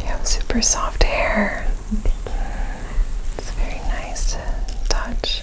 You have super soft hair. It's very nice to touch.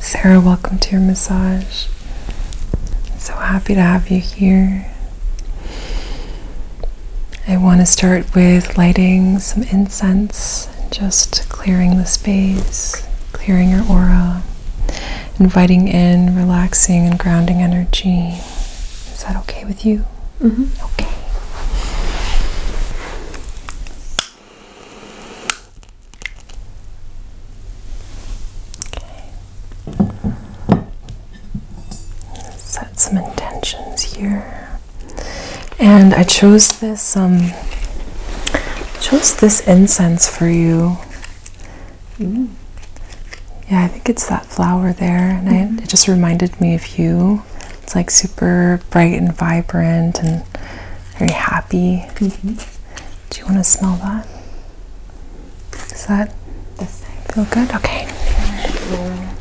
Sarah, welcome to your massage. So happy to have you here. I want to start with lighting some incense, just clearing the space, clearing your aura, inviting in relaxing and grounding energy. Is that okay with you? Mm-hmm. Okay. Okay. Set some intentions here. And I chose this um chose this incense for you. Mm. Yeah, I think it's that flower there, and it just reminded me of you. It's like super bright and vibrant and very happy. -hmm. Do you want to smell that? Does that this thing. feel good? Okay. Yeah.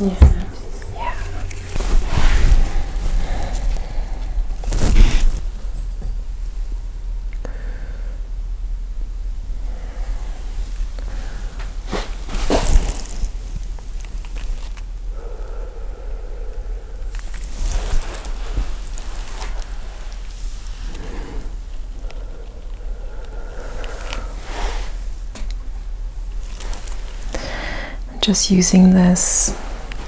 Yeah. Okay. I'm just using this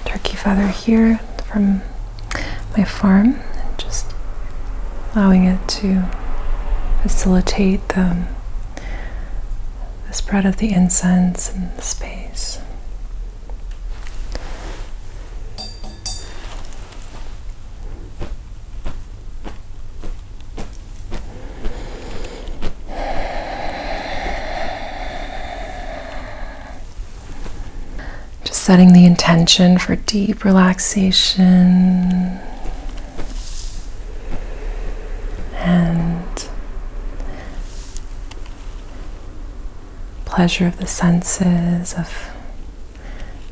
turkey feather here from my farm and just allowing it to facilitate the, the spread of the incense in the space. Just setting the intention for deep relaxation and pleasure of the senses, of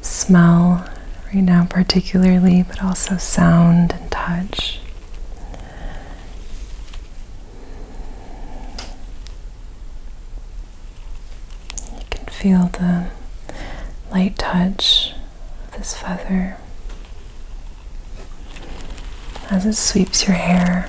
smell right now, particularly, but also sound and touch. You can feel the light touch of this feather as it sweeps your hair.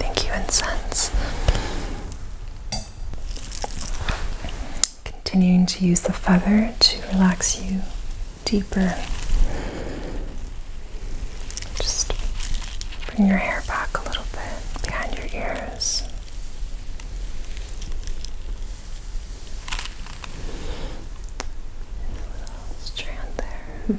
Thank you, incense. Continuing to use the feather to relax you deeper. Just bring your hair back a little bit behind your ears. little strand there.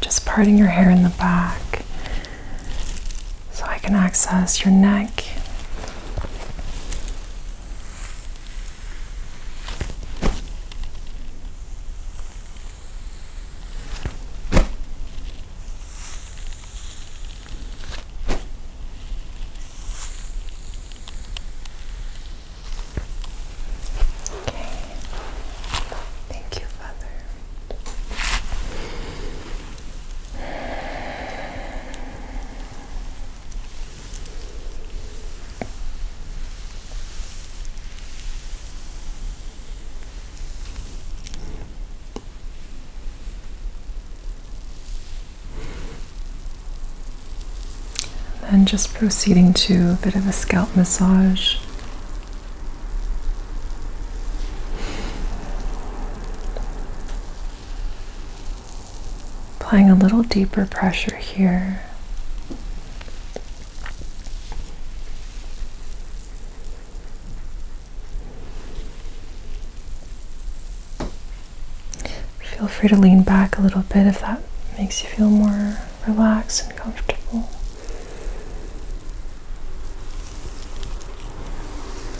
Just parting your hair in the back so I can access your neck. Okay. Thank you, Father. And just proceeding to a bit of a scalp massage. Applying a little deeper pressure here. Feel free to lean back a little bit if that makes you feel more relaxed and comfortable.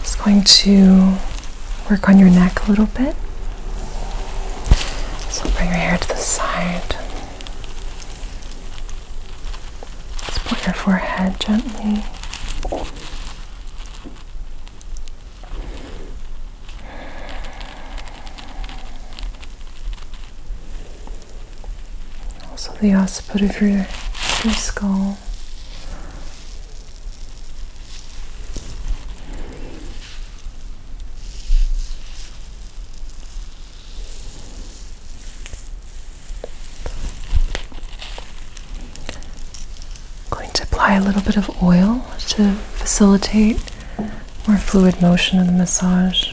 Just going to work on your neck a little bit. So bring your hair to the side support your forehead gently. Also, the occiput of your, your skull. I'm going to apply a little bit of oil to facilitate more fluid motion in the massage.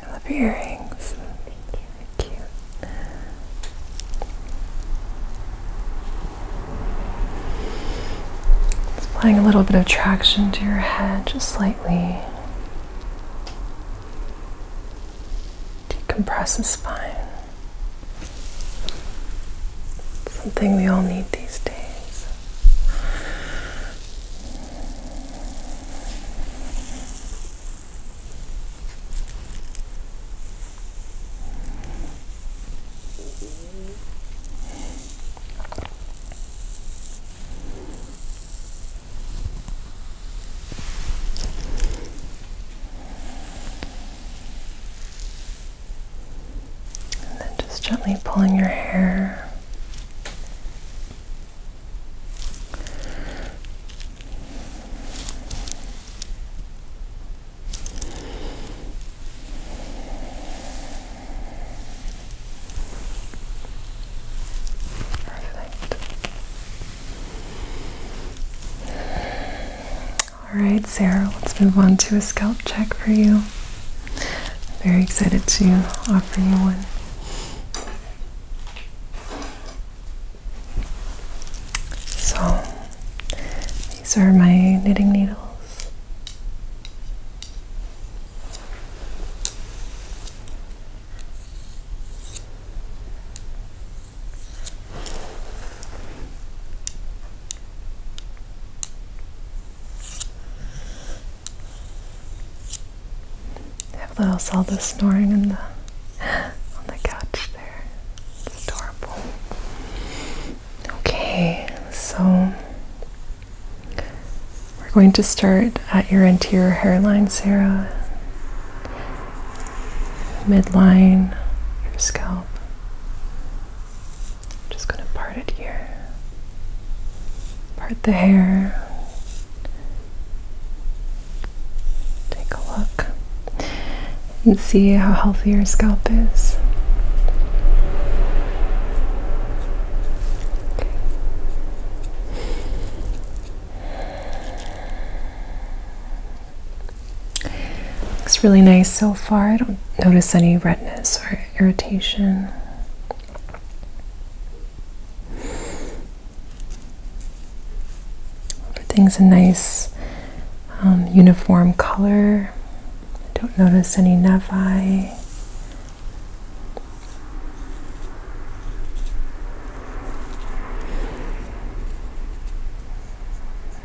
I love your earrings. They're cute. It's applying a little bit of traction to your head, just slightly decompress the spine. Something we all need these days. And then just gently pulling your hair. Perfect. All right, Sarah, let's move on to a scalp check for you. very excited to offer you one. So, these are my knitting needles. Allows all the snoring in the on the couch there. It's adorable. Okay, so we're going to start at your anterior hairline, Sarah, midline, your scalp. just going to part it here. Part the hair. Take a look and see how healthy your scalp is. Looks really nice so far. I don't notice any redness or irritation. Everything's a nice um, uniform color. I don't notice any nevi.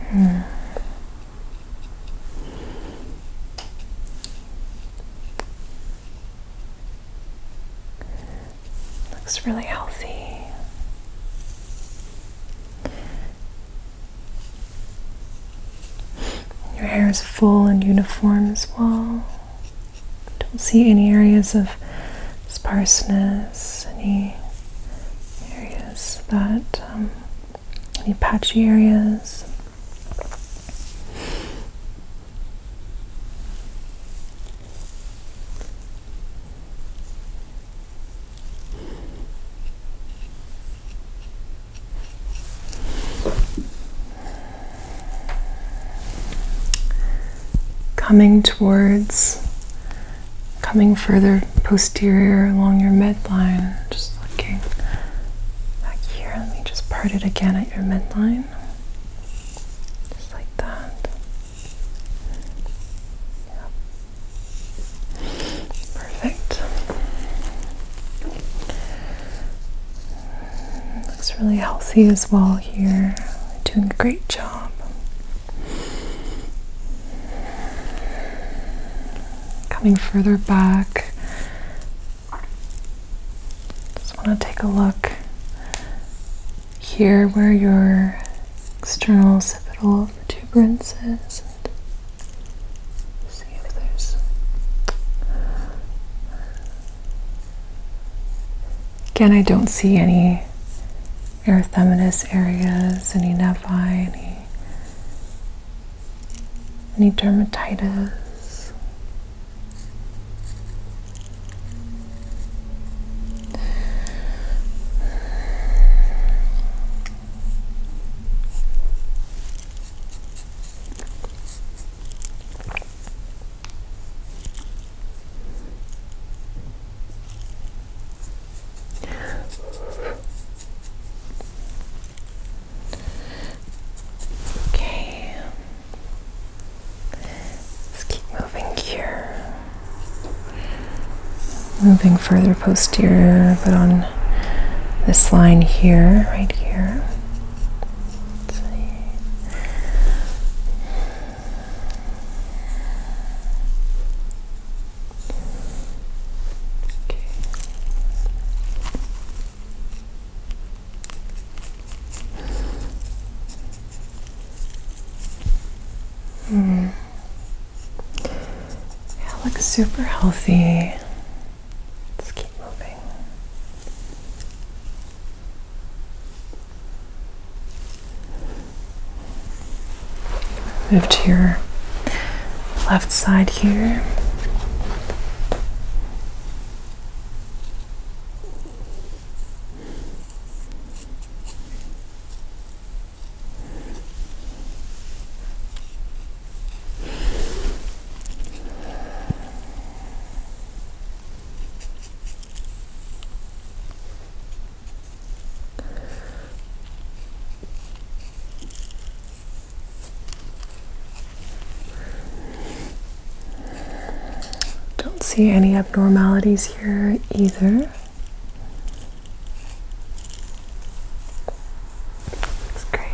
Hmm. Looks really healthy. Your hair is full and uniform as well. Don't see any areas of sparseness, any areas that, um, any patchy areas. Coming towards, coming further posterior along your midline. Just looking back here. Let me just part it again at your midline. Just like that. Yep. Perfect. Looks really healthy as well here. Doing a great job. Coming further back, just want to take a look here where your external occipital protuberance is. Again, I don't see any erythematous areas, any nevi, any, any dermatitis. Okay, let's keep moving here. Moving further posterior, but on this line here, right here let Okay. Hmm. Yeah, looks super healthy. let keep moving. Move to your left side here. Don't see any abnormalities here either. That's great.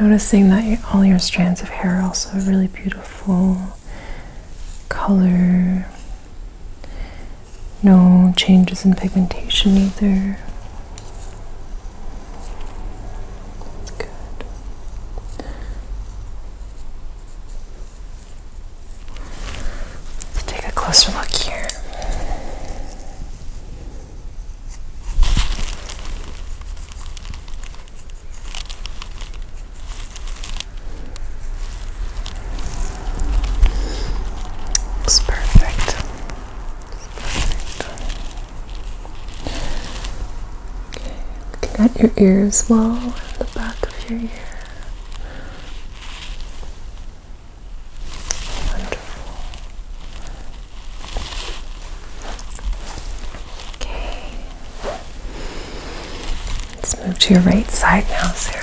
Noticing that all your strands of hair also have really beautiful color. No changes in pigmentation either. Let's take a closer look here. Looks perfect. Okay, looking at your ear as well, and the back of your ear. Wonderful. Okay. Let's move to your right side now, Sarah.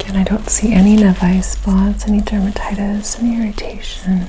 Again, I don't see any nevi spots, any dermatitis, any irritation.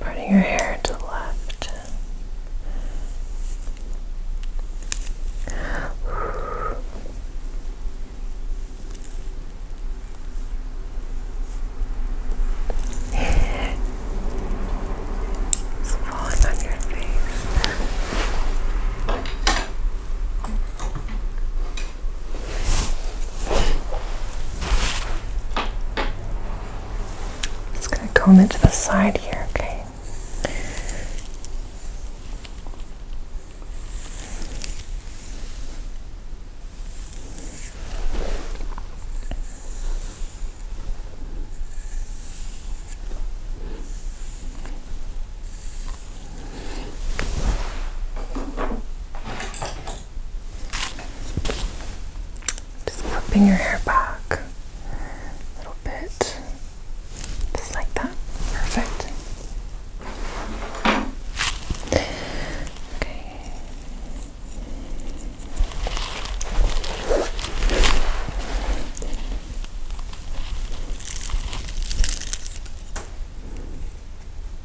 parting your hair to the left. It's falling on your face. Just going to comb it to the side here, okay? Just flipping your hair back a little bit, just like that. Perfect. Okay.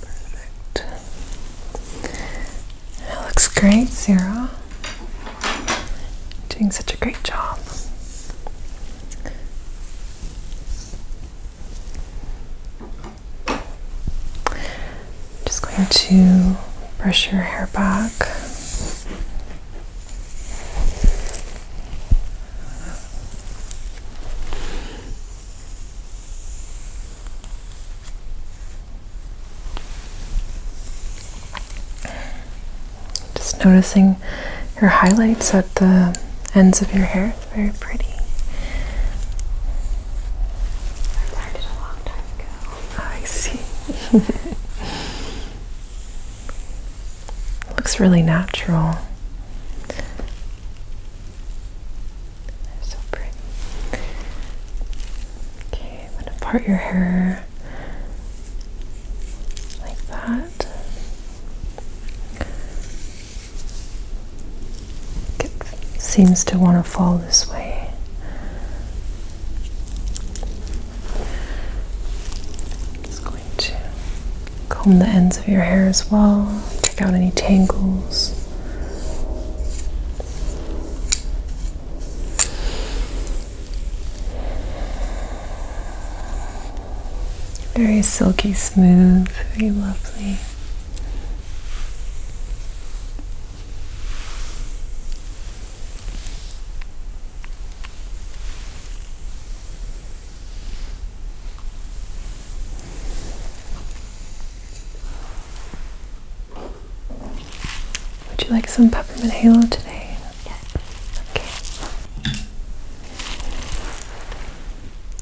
Perfect. That looks great, Sarah. Doing such a great job. Just going to brush your hair back. Just noticing your highlights at the ends of your hair. It's very pretty. I learned a long time ago. I see. Looks really natural. so pretty. Okay, I'm gonna part your hair like that. seems to want to fall this way. Just going to comb the ends of your hair as well, take out any tangles. Very silky smooth, very lovely. Would you like some peppermint halo today? Yeah. Okay.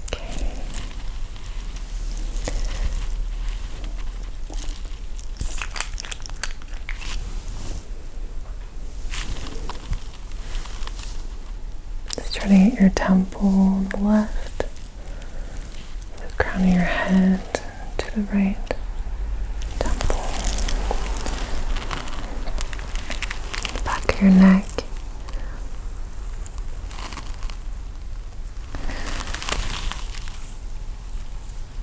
Okay. Just try to get your temple on the left, the crown of your head to the right temple, back of your neck.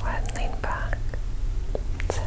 Go ahead and lean back. That's it. Good.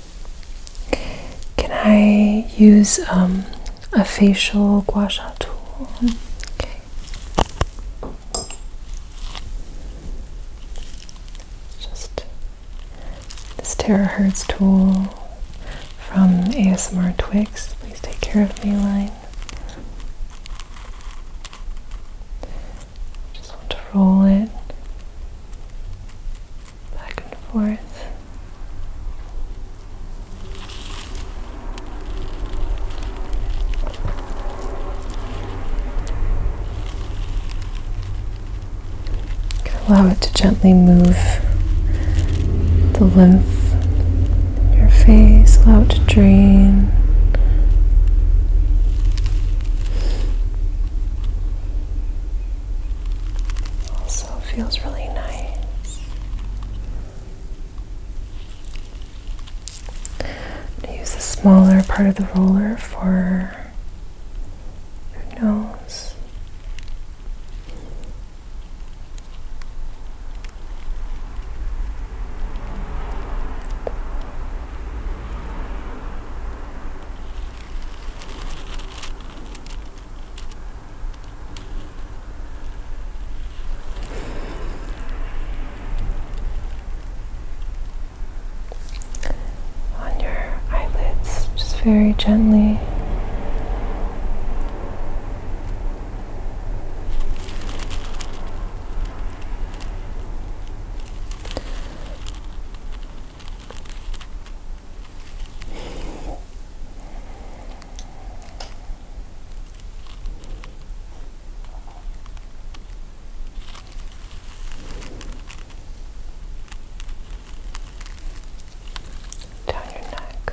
Can I use um, a facial gua sha tool? Okay. Just this terahertz tool from ASMR Twix. Please take care of me, line. Just want to roll it back and forth. Allow it to gently move the lymph in your face, allow it to drain. Also feels really nice. I use the smaller part of the roller for your nose on your eyelids, just very gently. Down your neck.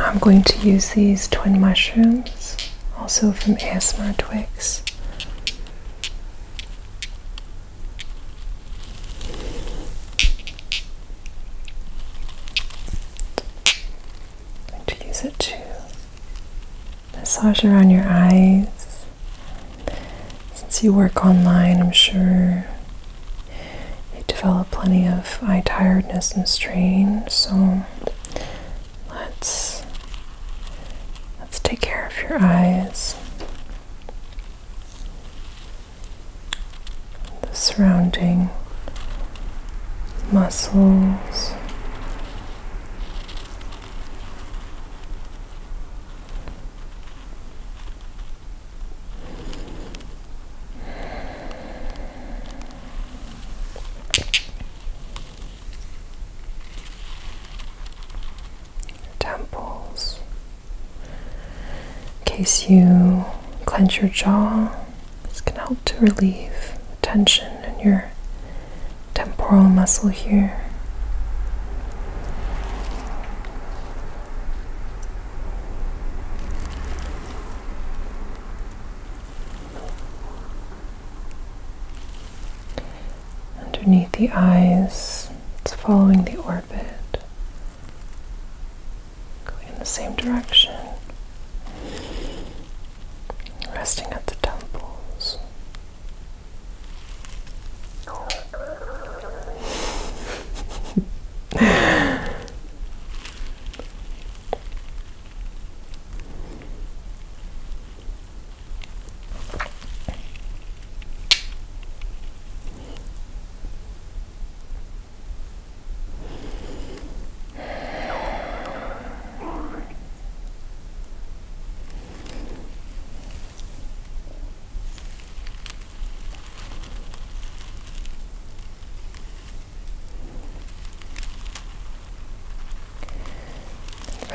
I'm going to use these twin mushrooms, also from ASMR Twigs to use it to massage around your eyes. Since you work online, I'm sure you develop plenty of eye tiredness and strain. So let's let's take care of your eyes the surrounding muscles. Temples, in case you clench your jaw, this can help to relieve tension in your temporal muscle here. Underneath the eyes, it's following the orbit going in the same direction, resting at the temples.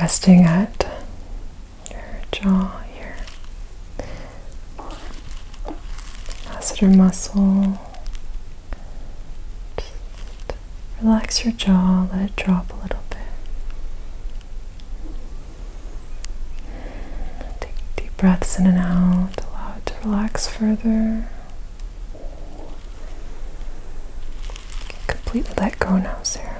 Resting at your jaw here masseter muscle. relax your jaw, let it drop a little bit. Take deep breaths in and out, allow it to relax further. Completely let go now, Sarah.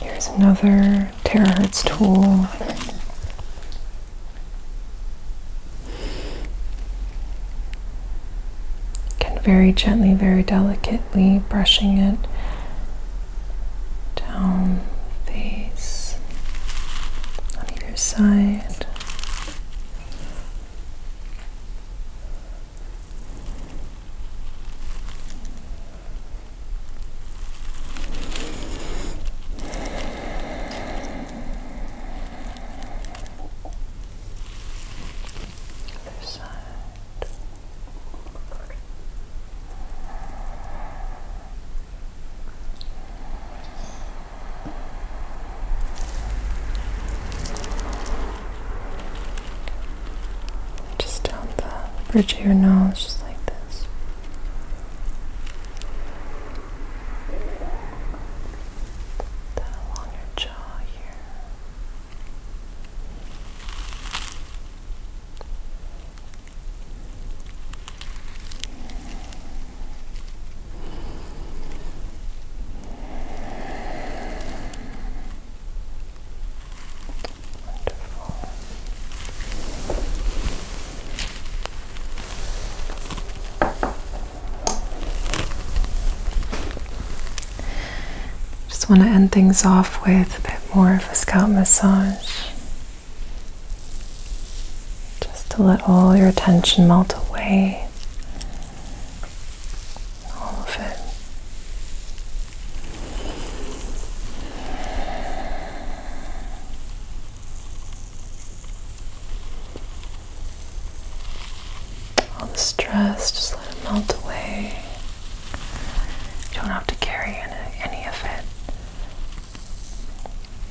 Here's another terahertz tool. Again, very gently, very delicately brushing it down face on either side. Other side. Good. Just down the bridge of your nose, just like this. Down along your jaw here. Just want to end things off with a bit more of a scalp massage. Just to let all your tension melt away all of it. All the stress, just let it melt away. You don't have to carry any, any of it.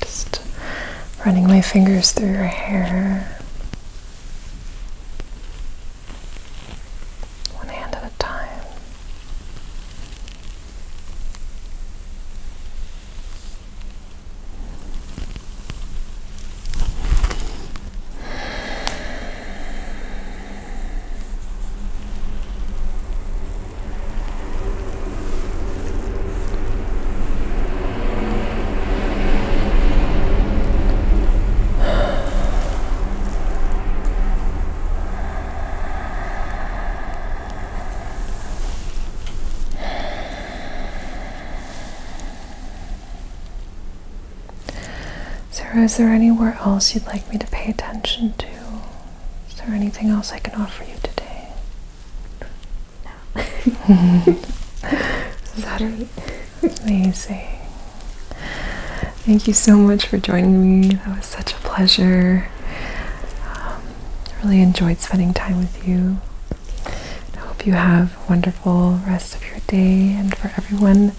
Just running my fingers through your hair one hand at a time. Sarah, is there anywhere else you'd like me to pay attention to? Is there anything else I can offer you today? No. mm Amazing. Thank you so much for joining me. That was such a pleasure. I um, really enjoyed spending time with you. I hope you have a wonderful rest of your day. And for everyone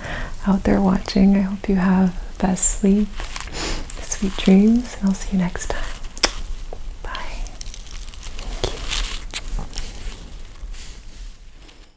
out there watching, I hope you have the best sleep, sweet dreams, and I'll see you next time. Bye. Thank you.